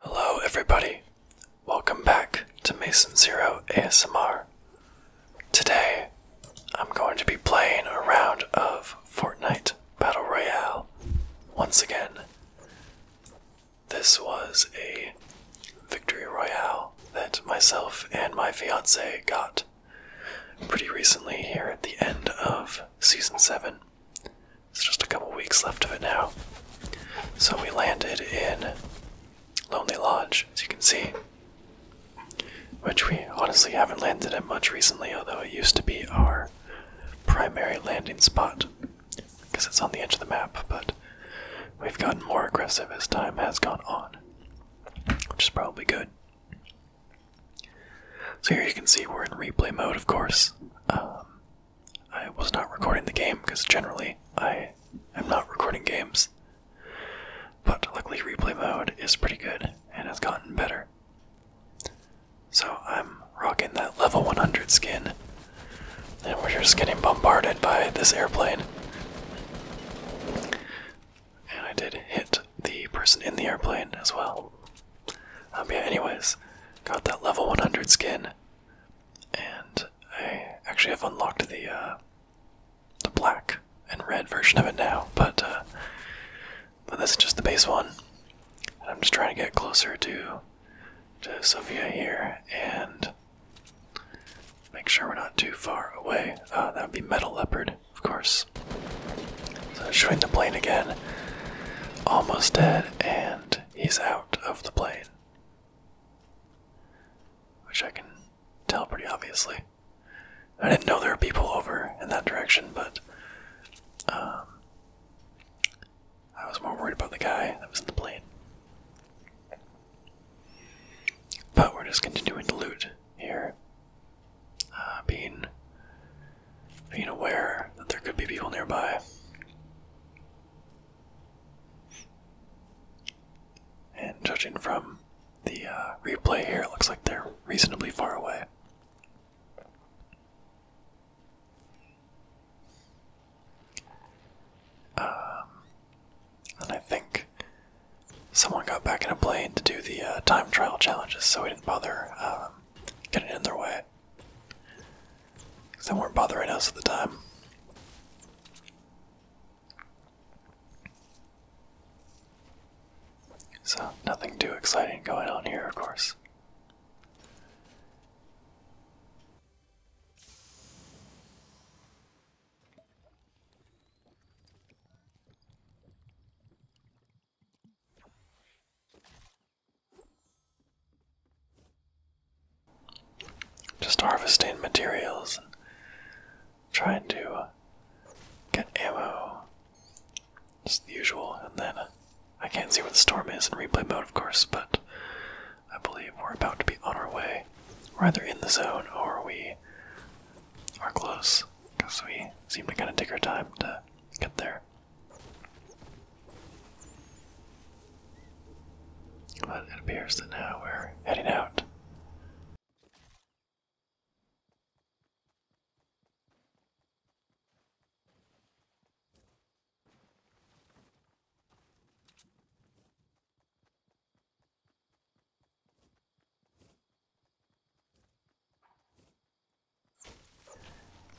Hello, everybody. Welcome back to Mason Zero ASMR. Today, I'm going to be playing a round of Fortnite Battle Royale once again. This was a victory royale that myself and my fiance got pretty recently here at the end of season 7. It's just a couple weeks left of it now. So we landed in Lonely Lodge, as you can see, which we honestly haven't landed in much recently, although it used to be our primary landing spot because it's on the edge of the map, but we've gotten more aggressive as time has gone on, which is probably good. So here you can see we're in replay mode, of course. Um, I was not recording the game because generally I am not recording games, but luckily replay mode is pretty good and has gotten better. So I'm rocking that level 100 skin and we're just getting bombarded by this airplane. And I did hit the person in the airplane as well. Um, yeah, anyways, got that level 100 skin. And I actually have unlocked the, uh, the black and red version of it now, but, uh, but this is just the base one. I'm just trying to get closer to, to Sophia here, and Make sure we're not too far away. Uh, that would be Metal Leopard, of course. So, shooting the plane again. Almost dead, and he's out of the plane. Which I can tell pretty obviously. I didn't know there were people over in that direction, but um, I was more worried about the guy that was in the plane. But we're just continuing to loot here. Uh, being being aware that there could be people nearby. And judging from the uh, replay here, it looks like they're reasonably far away. Um, and I think someone got back in a plane to do the uh, time trial challenges, so we didn't bother um, getting in their way. Because they weren't bothering us at the time. So, nothing too exciting going on here, of course. Just harvesting materials trying to uh, get ammo. as usual, and then uh, I can't see where the storm is in replay mode, of course, but I believe we're about to be on our way. We're either in the zone or we are close, because we seem to kind of take our time to get there. But it appears that now we're heading out.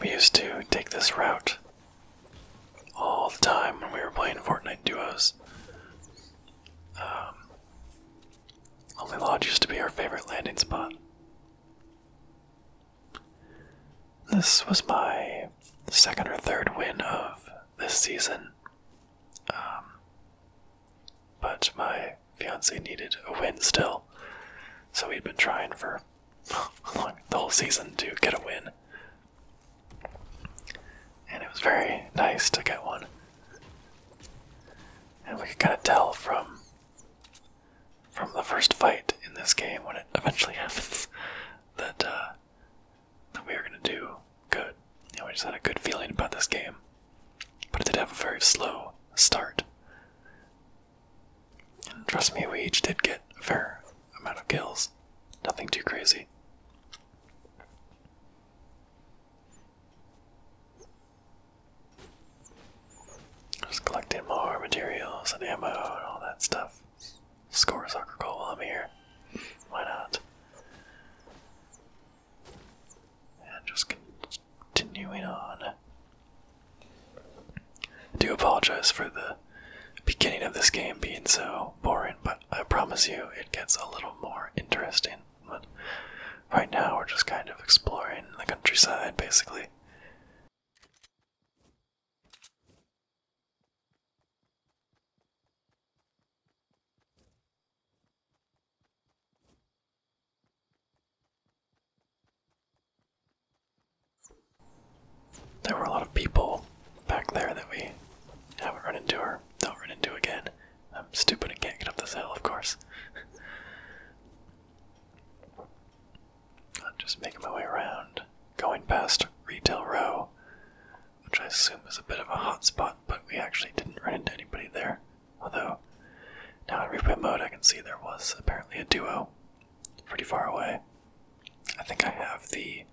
We used to take this route all the time when we were playing Fortnite duos. Um, Only Lodge used to be our favorite landing spot. This was my second or third win of this season. Um, but my fiance needed a win still, so we'd been trying for long, the whole season to get a win. And it was very nice to get one. And we could kind of tell from from the first fight in this game when it eventually happens that uh, that we were gonna do good. You we just had a good feeling about this game, but it did have a very slow start. And trust me, we each did get a fair amount of kills. Nothing too crazy. Just collecting more materials and ammo and all that stuff. Score a soccer goal while I'm here. Why not? And just continuing on. do apologize for the beginning of this game being so boring, but I promise you it gets a little more interesting. But right now we're just kind of exploring the countryside basically. There were a lot of people back there that we haven't run into or don't run into again. I'm stupid and can't get up this hill, of course. I'm just making my way around, going past Retail Row, which I assume is a bit of a hot spot, but we actually didn't run into anybody there. Although, now in replay mode, I can see there was apparently a duo pretty far away. I think I have the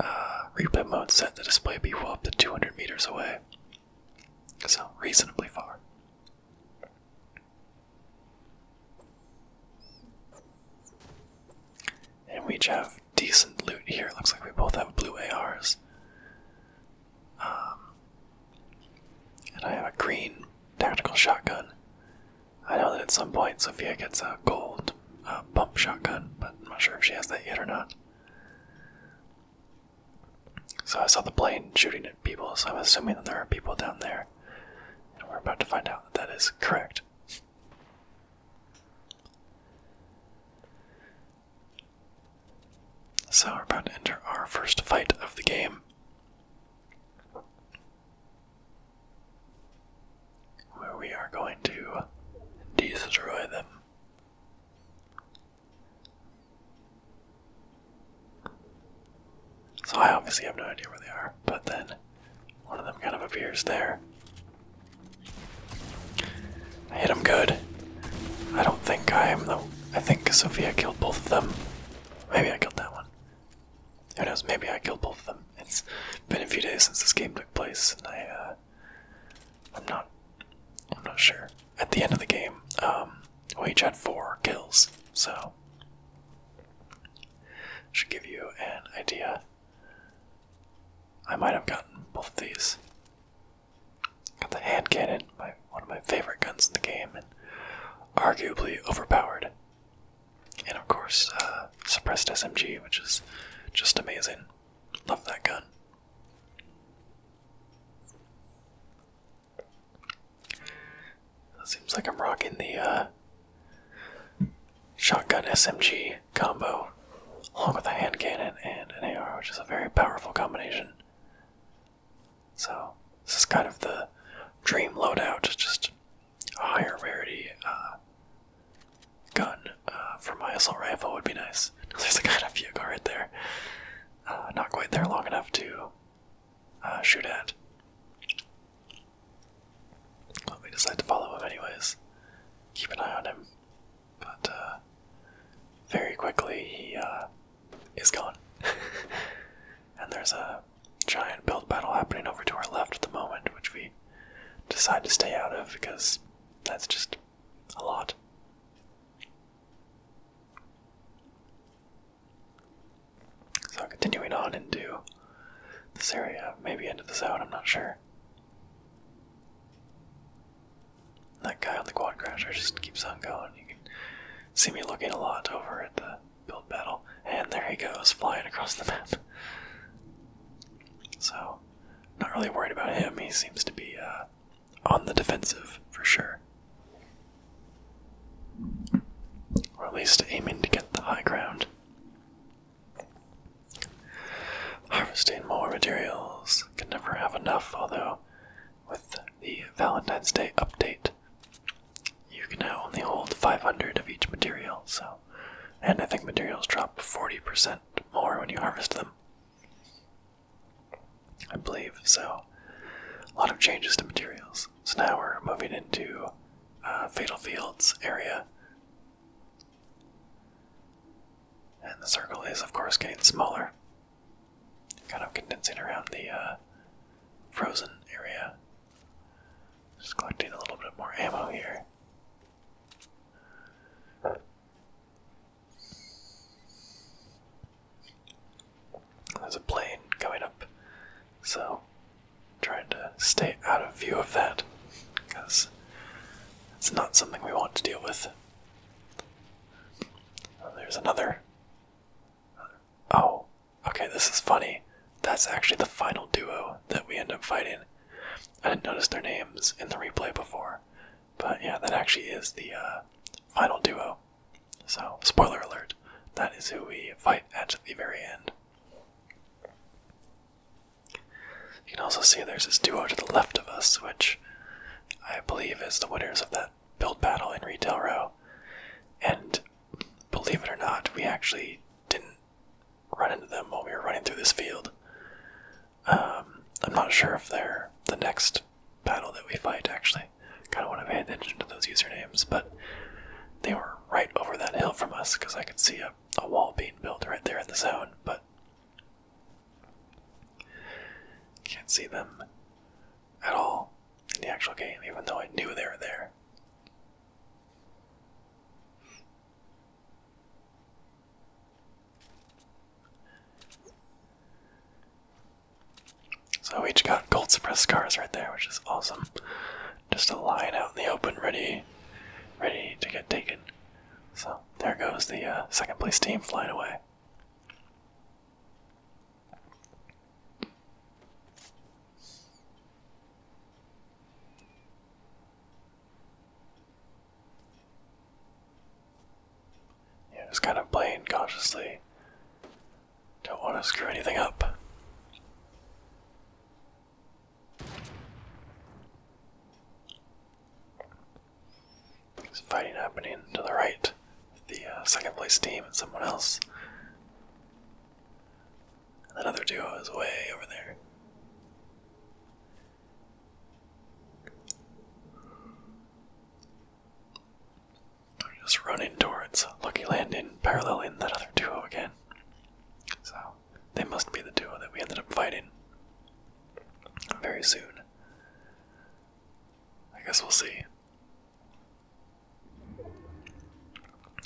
uh, replay mode set the display people up to 200 meters away, so reasonably far. And we each have decent loot here. looks like we both have blue ARs. Um, and I have a green tactical shotgun. I know that at some point Sophia gets a gold uh, pump shotgun, but I'm not sure if she has that yet or not. So I saw the plane shooting at people, so I'm assuming that there are people down there. And we're about to find out that that is correct. So we're about to enter our first fight of the game. Where we are going to destroy them. So I obviously have no idea where they are, but then one of them kind of appears there. I hit him good. I don't think I am though. I think Sophia killed both of them. Maybe I killed that one. Who knows? Maybe I killed both of them. It's been a few days since this game took place, and I, uh, I'm not, I'm not sure at the end of the game, um, we each had four kills, so should give you an idea. I might have gotten both of these. Got the hand cannon, my, one of my favorite guns in the game, and arguably overpowered. And of course, uh, suppressed SMG, which is just amazing. Love that gun. Seems like I'm rocking the uh, shotgun SMG combo, along with a hand cannon and an AR, which is a very powerful combination. So, this is kind of the dream loadout, just a higher rarity uh, gun uh, for my assault rifle would be nice. There's a kind of vehicle right there. Uh, not quite there long enough to uh, shoot at. we decide to follow him anyways. Keep an eye on him. But uh, very quickly he is gone. and there's a giant build battle happening over to our left at the moment, which we decide to stay out of because that's just a lot. So continuing on into this area, maybe into the zone, I'm not sure. That guy on the quad crasher just keeps on going. You can see me looking a lot over at the build battle, and there he goes, flying across the map. So, not really worried about him. He seems to be uh, on the defensive for sure. Or at least aiming to get the high ground. Harvesting more materials can never have enough, although, with the Valentine's Day update, you can now only hold 500 of each material, so. And I think materials drop 40% more when you harvest them. I believe. So, a lot of changes to materials. So now we're moving into uh, Fatal Fields area. And the circle is, of course, getting smaller. Kind of condensing around the uh, frozen area. Just collecting a little bit more ammo here. There's a plane going up, so trying to stay out of view of that because it's not something we want to deal with. Oh, there's another. Oh, okay, this is funny. That's actually the final duo that we end up fighting. I didn't notice their names in the replay before, but yeah, that actually is the uh, final duo. So, spoiler alert, that is who we fight at the very end. You can also see there's this duo to the left of us, which I believe is the winners of that build battle in Retail Row. And believe it or not, we actually didn't run into them while we were running through this field. Um, I'm not sure if they're the next battle that we fight, actually. Kind of want to pay attention to those usernames, but they were right over that hill from us because I could see a wall being built right there in the zone, but can't see them at all in the actual game, even though I knew they were there. So we each got gold suppress cars right there, which is awesome. Just a line out in the open, ready, ready to get taken. So there goes the uh, second place team flying away. Yeah, just kind of playing cautiously. Don't want to screw anything up. There's fighting happening to the right the uh, second place team and someone else. And duo is way over there just running towards Lucky Landing, in that other duo again. So, they must be the duo that we ended up fighting very soon. I guess we'll see.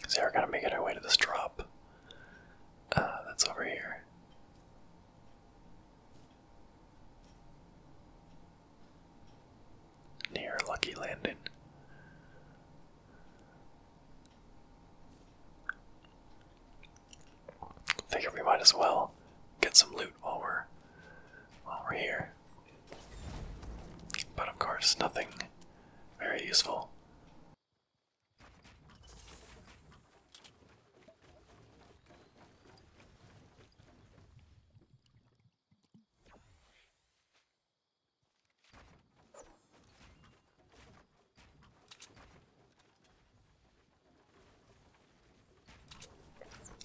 So, we're gonna make it our way to this drop uh, that's over here. Near Lucky Landing. Figure we might as well get some loot while we're while we're here. But of course nothing very useful.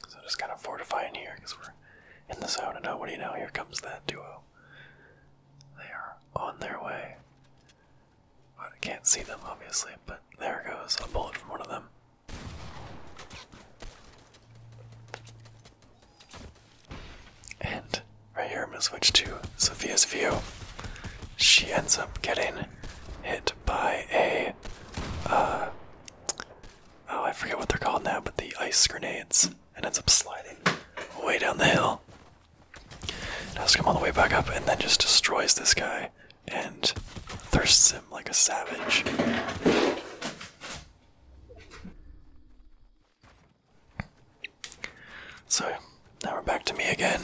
So just kind of fortifying here because we're in the zone, and nobody what you know? Here comes that duo. They are on their way. I can't see them, obviously, but there goes a bullet from one of them. And right here, I'm going to switch to Sophia's view. She ends up getting hit by a. Uh, oh, I forget what they're called now, but the ice grenades, and ends up sliding way down the hill does come all the way back up and then just destroys this guy and thirsts him like a savage. So now we're back to me again.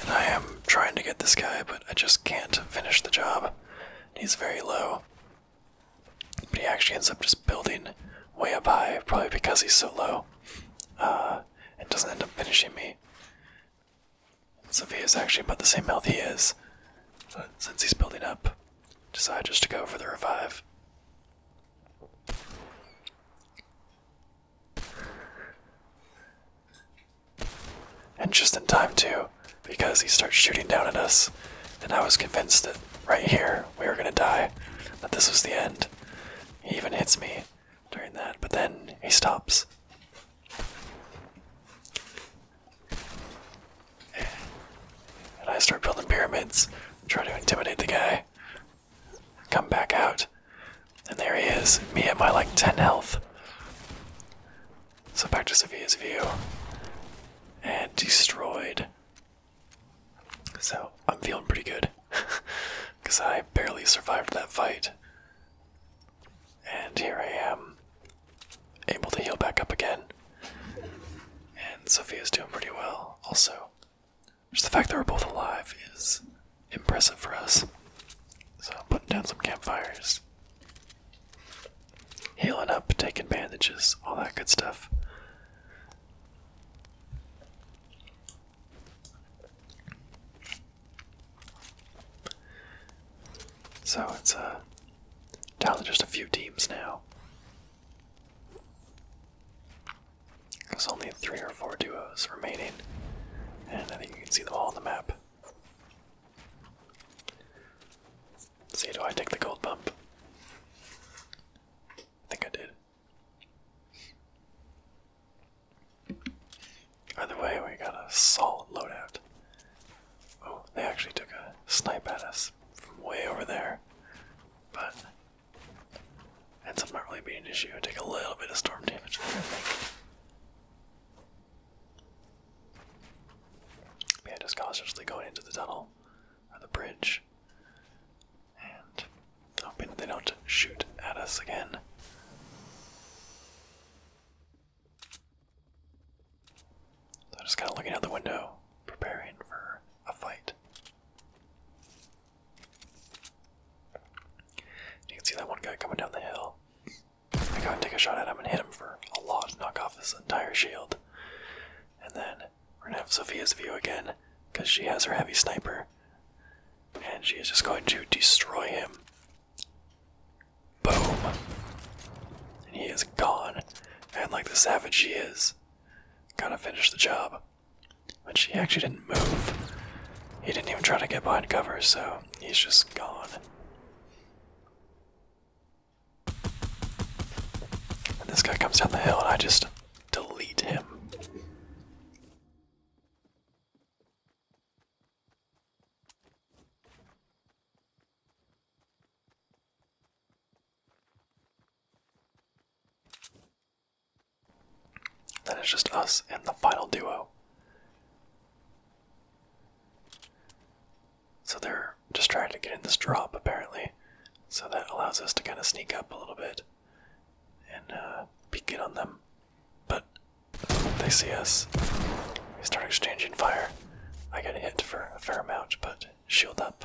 And I am trying to get this guy, but I just can't finish the job. He's very low. But he actually ends up just building way up high, probably because he's so low, uh, and doesn't end up finishing me. Sophia is actually about the same health he is, but since he's building up, decide just to go for the revive. And just in time too, because he starts shooting down at us, and I was convinced that right here we were gonna die, that this was the end. He even hits me during that, but then he stops. And I start building pyramids, try to intimidate the guy. Come back out, and there he is, me at my like 10 health. So back to Sophia's view. And destroyed. So I'm feeling pretty good because I barely survived that fight. And here I am, able to heal back up again. And Sophia's doing pretty well also. Just the fact that we're both alive is impressive for us. So I'm putting down some campfires. Healing up, taking bandages, all that good stuff. So it's uh, down to just a few teams now. There's only three or four duos remaining, and I think you can see them all on the map. See, do I take the gold bump? I think I did. Either way, we got a solid loadout. Oh, they actually took a snipe at us from way over there. But ends up not really being an issue. I take a little bit of storm damage there, I just cautiously going into the tunnel or the bridge. And hoping they don't shoot at us again. So just kind of looking out the window, preparing for a fight. You can see that one guy coming down the hill. I gotta take a shot at him and hit him for a lot, knock off his entire shield. And then we're gonna have Sophia's view again, because she has her heavy sniper. And she is just going to destroy him. Boom. And he is gone. And like the savage she is, gotta finish the job. But she actually didn't move. He didn't even try to get behind cover, so he's just gone. And this guy comes down the hill and I just delete him. Then it's just us and the final duo. So they're just trying to get in this drop, apparently. So that allows us to kind of sneak up a little bit and peek uh, in on them. But they see us. We start exchanging fire. I get hit for a fair amount, but shield up.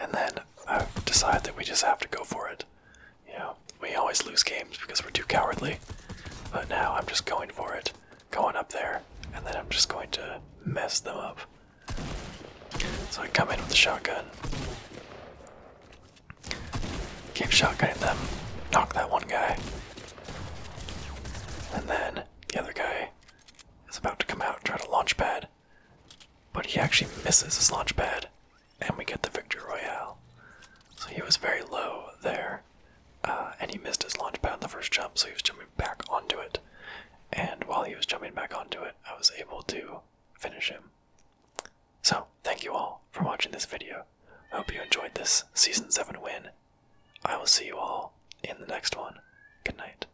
And then I decide that we just have to go for it. You know, we always lose games because we're too cowardly. But now I'm just going for it going up there, and then I'm just going to mess them up. So I come in with the shotgun. Keep shotgunning them, knock that one guy. And then the other guy is about to come out and try to launch pad. But he actually misses his launch pad, and we get the victory royale. So he was very low there. Uh, and he missed his launch pad in the first jump, so he was jumping back onto it. And while he was jumping back onto it, I was able to finish him. So, thank you all for watching this video. I hope you enjoyed this Season 7 win. I will see you all in the next one. Good night.